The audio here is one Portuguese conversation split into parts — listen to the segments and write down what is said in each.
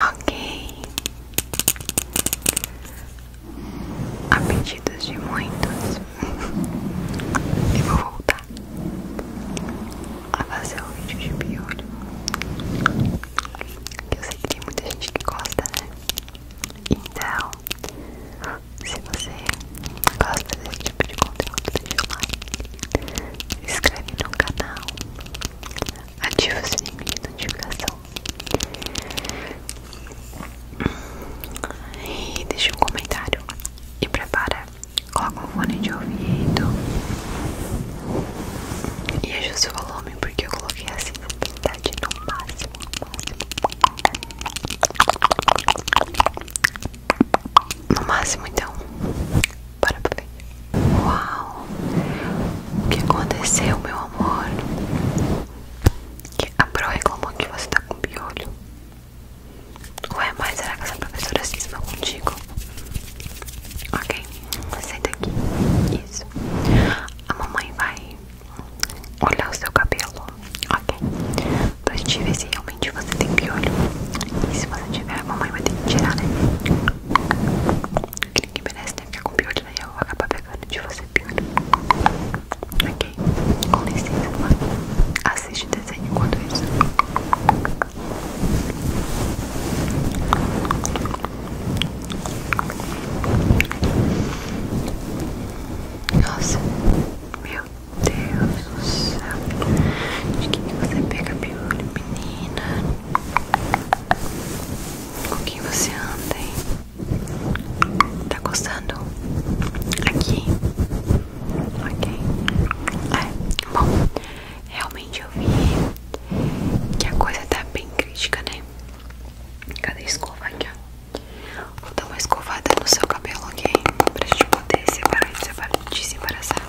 Ok, a pedidos de muitos, e vou voltar a fazer o vídeo de piolho. Eu sei que tem muita gente que gosta, né? Então, se você gosta desse tipo de conteúdo, deixa o like, se inscreve no canal ativa o sininho de notificação e deixa um comentário e prepara, coloca um fone de ouvido e ajusta o volume porque eu coloquei assim no máximo no máximo então para pra frente. Uau! O que aconteceu, meu amor? A Pro reclamou que você tá com piolho. é mais será que essa professora cisma contigo? Ok, senta aqui. Isso. A mamãe vai olhar o seu cabelo. Ok. Pra gente ver se realmente você tem piolho. E se você tiver, a mamãe vai ter que tirar, né? Aquele que merece né? ficar com pior, daí né? eu vou acabar pegando de você pior. Ok? Com licença, mano. Assiste o desenho enquanto isso. Nossa, meu Deus do céu. De que você pega piolho, menina? com quem você anda, hein? Tá gostando? Aqui? Ok. É, bom, realmente eu vi que a coisa tá bem crítica, né? Cadê a escova aqui, Vou dar uma escovada no seu cabelo, ok? Pra gente poder separar, separar, te separar, sabe?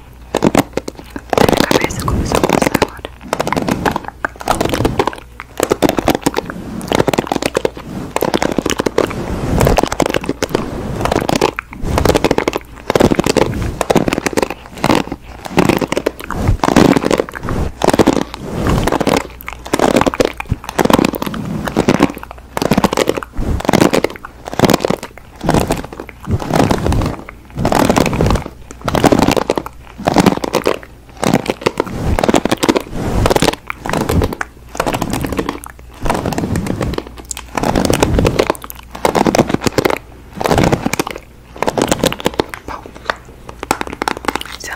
Minha cabeça começou a coçar agora.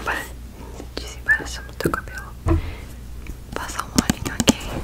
Bom, desembaraçamos o do cabelo, passa um olhinho aqui.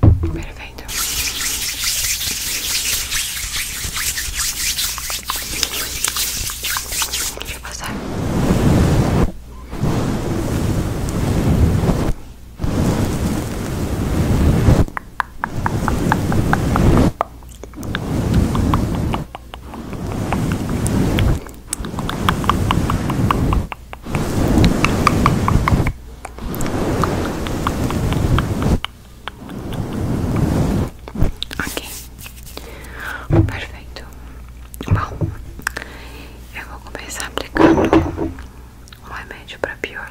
Perfeito. Deixa eu passar. Perfeito. Ok, perfeito. Bom, eu vou começar aplicando um remédio para pior.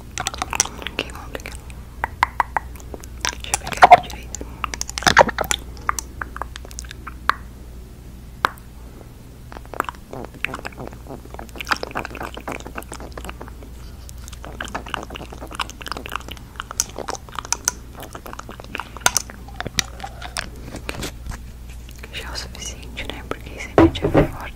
Ok, vamos pegar. Deixa eu pegar aqui direito. Já é o suficiente, né? Porque sempre tinha fora.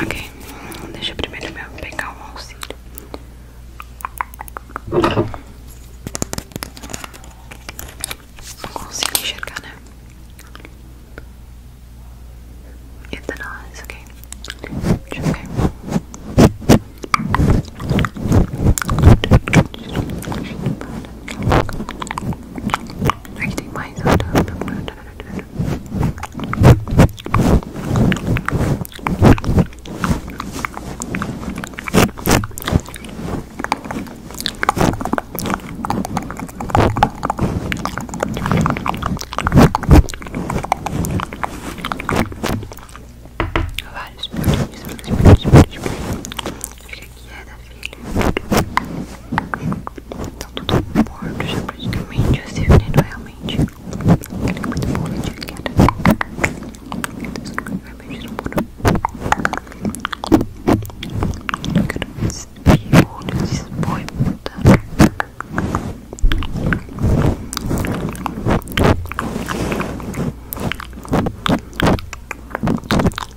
Ok, deixa eu primeiro pegar o auxílio. Não consigo enxergar, né? Etanóis, ok. Deixa eu ver. Okay. Aí tem mais Vários, vários, vários, vários, vários, vários suja que filha. Estão todos mortos já praticamente. O Silvio assim, realmente. Ele é muito bom, ele tinha que era. Vai beijar no muro. Eu quero ver esse olho, esse boi mudando. Tá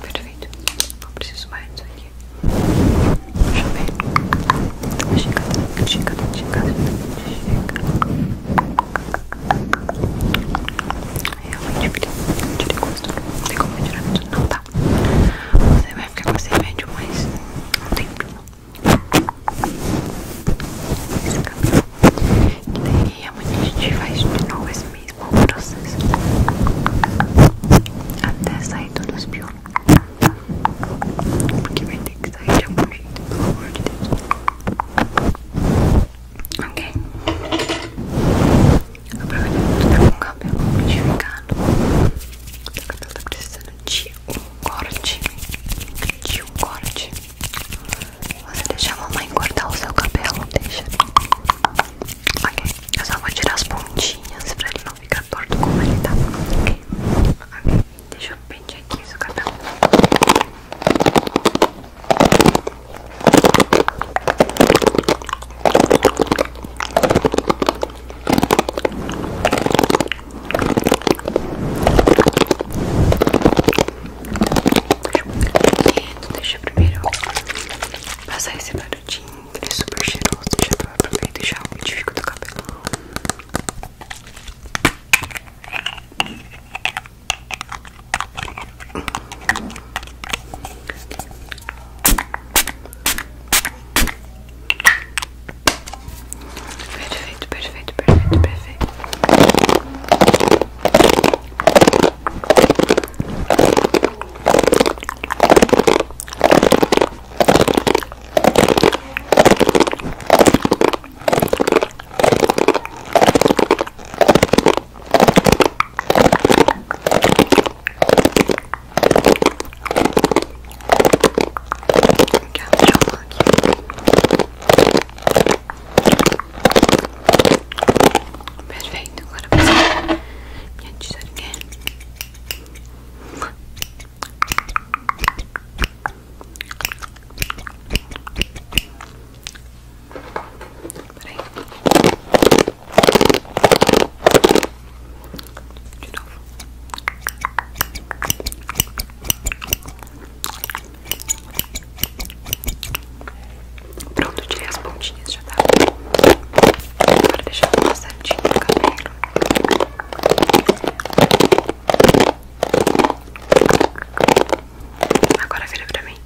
Perfeito, não preciso mais disso aqui. Deixa eu ver. Chega, chega, chega, chega. Realmente tirei gosto, não tem como tirar não dá. Tá. Você vê que você esse remédio mais um tempo. E daí amanhã a gente faz de novo esse mesmo processo. Até sair todos os Porque vai ter que sair de algum jeito, pelo amor de Deus. Ok? Aproveita que tu tá com o cabelo modificado. O cabelo tá precisando de um corte. De um corte. Você deixa a mamãe cortar o seu cabelo, deixa. Ok, eu só vou tirar as pontinhas pra ele não ficar torto como ele tá. Ok, ok. Deixa eu pentear aqui isso, cabelo. Deixa eu primeiro passar esse produtinho, ele é super cheiroso, já pra aproveitar e já umidifica o teu cabelo. Perfeito, perfeito, perfeito, perfeito. Perfeito, agora você minha tesourinha. Pronto, tirei as pontinhas, já tá. Agora deixa eu passar certinho no cabelo. Agora vira pra mim.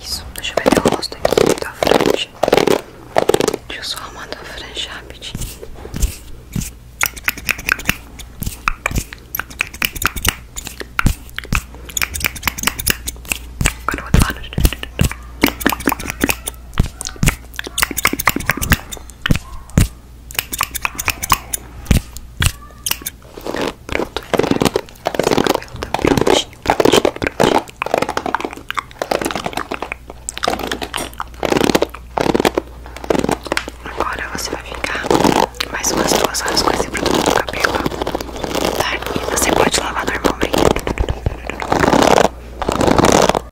Isso, deixa eu ver teu rosto aqui, da frente. Deixa eu só arrumar tua frente rapidinho. Agora vou outro lado. Pronto, é Edgar. cabelo tá prontinho, prontinho, prontinho. Agora você vai ficar mais umas duas horas com esse produto no cabelo, tá? E você pode lavar normalmente. Né?